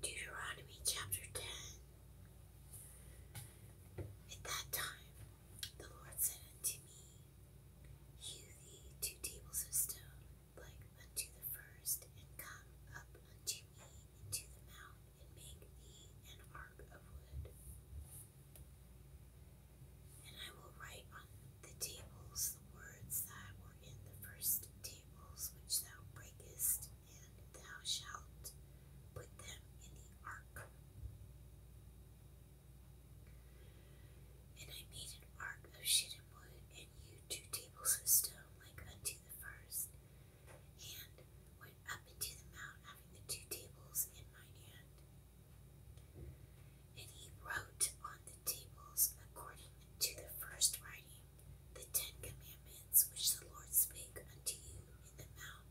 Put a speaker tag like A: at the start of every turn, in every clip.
A: Deuteronomy chapter 10 At that time the Lord said unto me, Hew thee two tables of stone, like unto the first, and come up unto me into the mount, and make thee an ark of wood. And I will write on the tables the words that were in the first tables which thou breakest, and thou shalt put them in the ark. And I made an ark of shittim wood, and you two tables of stone like unto the first, and went up into the mount, having the two tables in mine hand. And he wrote on the tables according to the first writing, the Ten Commandments which the Lord spake unto you in the mount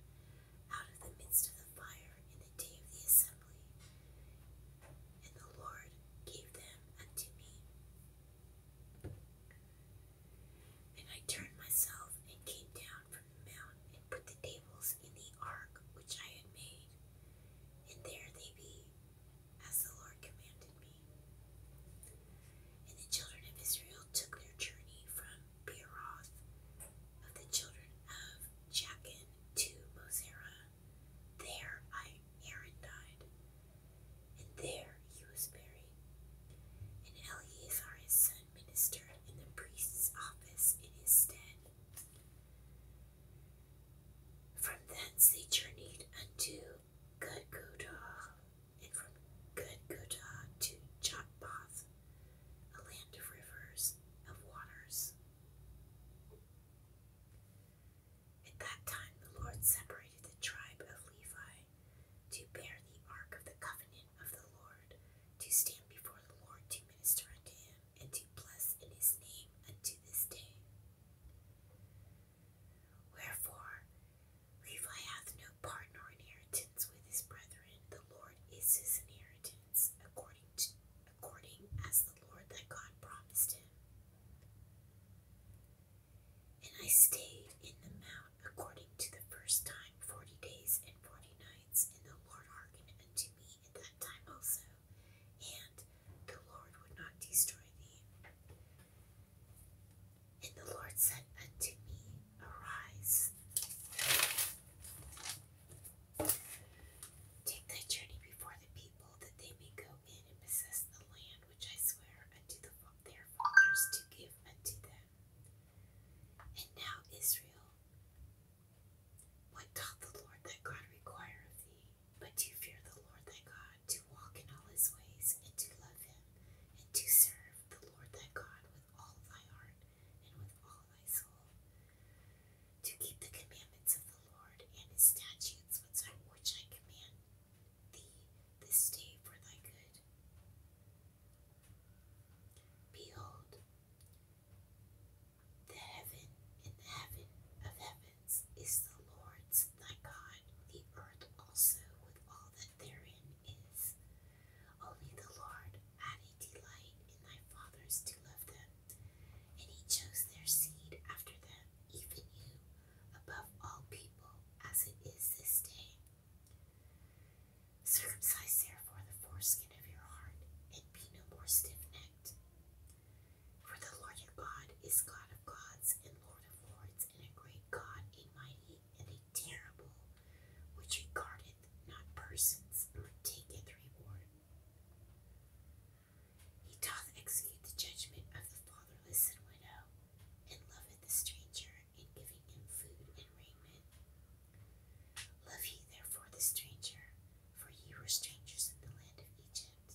A: out of the midst of the fire in the day of the assembly. And the Lord gave them unto me. And I turned myself and came down from the mount and put the tables in the ark which I had made, and there they be as the Lord commanded me. And the children of Israel took their journey from Beeroth of the children of Jachin to Mosera. There I, Aaron died, and there he was buried. And Eleazar his son ministered in the priest's office in his stead. From thence they journeyed unto Gudgudar, and from Gudgudar to Jotbath, a land of rivers, of waters. At that time the Lord separated the tribe of Levi to bear the ark of the covenant of the Lord, to stand before the Lord to minister unto him, and to bless in his name unto this day. Wherefore, Levi hath no part nor inheritance with his brethren. The Lord is his inheritance, according according as the Lord thy God promised him. And I stayed in the mount according to the first time forty days and forty nights, and the Lord hearkened unto me in that time also, and the Lord would not destroy thee. And the Lord said unto me, Arise, take thy journey before the people, that they may go in and possess the land which I swear unto their fathers to give unto them. And now, Israel, what doth the Lord thy God require of thee? but to fear the Lord thy God, to walk in all his ways, and to love him, and to serve the Lord thy God with all thy heart and with all thy soul, to keep the commandments of the Lord and his statutes which I, which I command thee this day for thy good. Behold, the heaven and the heaven of heavens is the Lord's thy God, the earth also with all that therein is. Only the Lord had a delight in thy fathers to love them, and he chose their seed after them, even you, above all people, as it is this day. Circumcise therefore the foreskin of your heart, and be no more stiff necked. For the Lord your God is God of gods and Lord of lords, and a great God, a mighty and a terrible, which regardeth not persons, nor taketh reward. He doth execute the judgment of the fatherless and widow, and loveth the stranger in giving him food and raiment. Love ye therefore the stranger, for ye were strangers in the land of Egypt.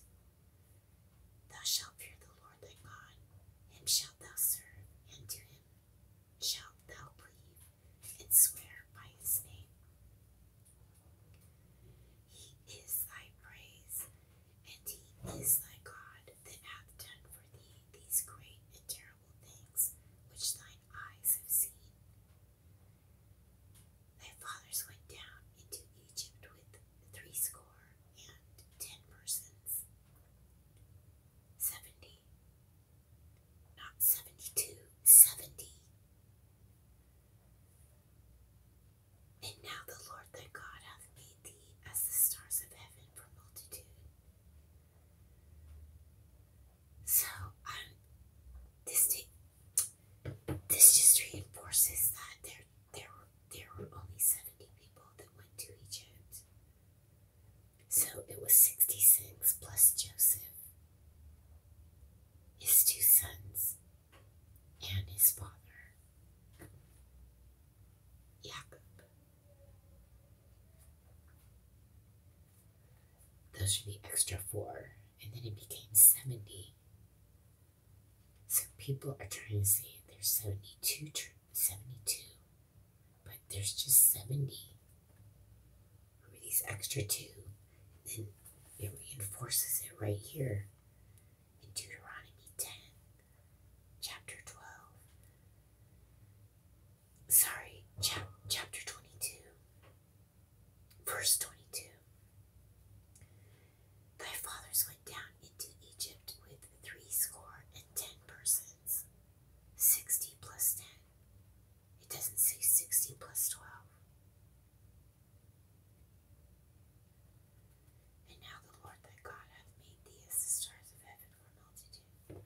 A: Thou shalt fear the Lord thy God, and shalt thou serve, and do him shalt thou believe, and swear by his name. He is thy praise, and he is thy God that hath done for thee these great and terrible things which thine eyes have seen. Thy fathers went down into Egypt with threescore and ten persons. Seventy, not seventy two, seventy. And now the Lord thy God hath made thee as the stars of heaven for multitude. So, um, this take this just reinforces that there there there were only seventy people that went to Egypt. So it was sixty six plus Joseph, his two sons, and his father, Jacob. Those should be extra four. And then it became 70. So people are trying to say there's 72, but there's just 70. Who these extra two? And then it reinforces it right here in Deuteronomy 10, chapter 12. Sorry, chap chapter 22. Verse 22 Thy fathers went down into Egypt with three score and ten persons. Sixty plus ten. It doesn't say sixty plus twelve. And now the Lord thy God hath made thee as the stars of heaven for multitude.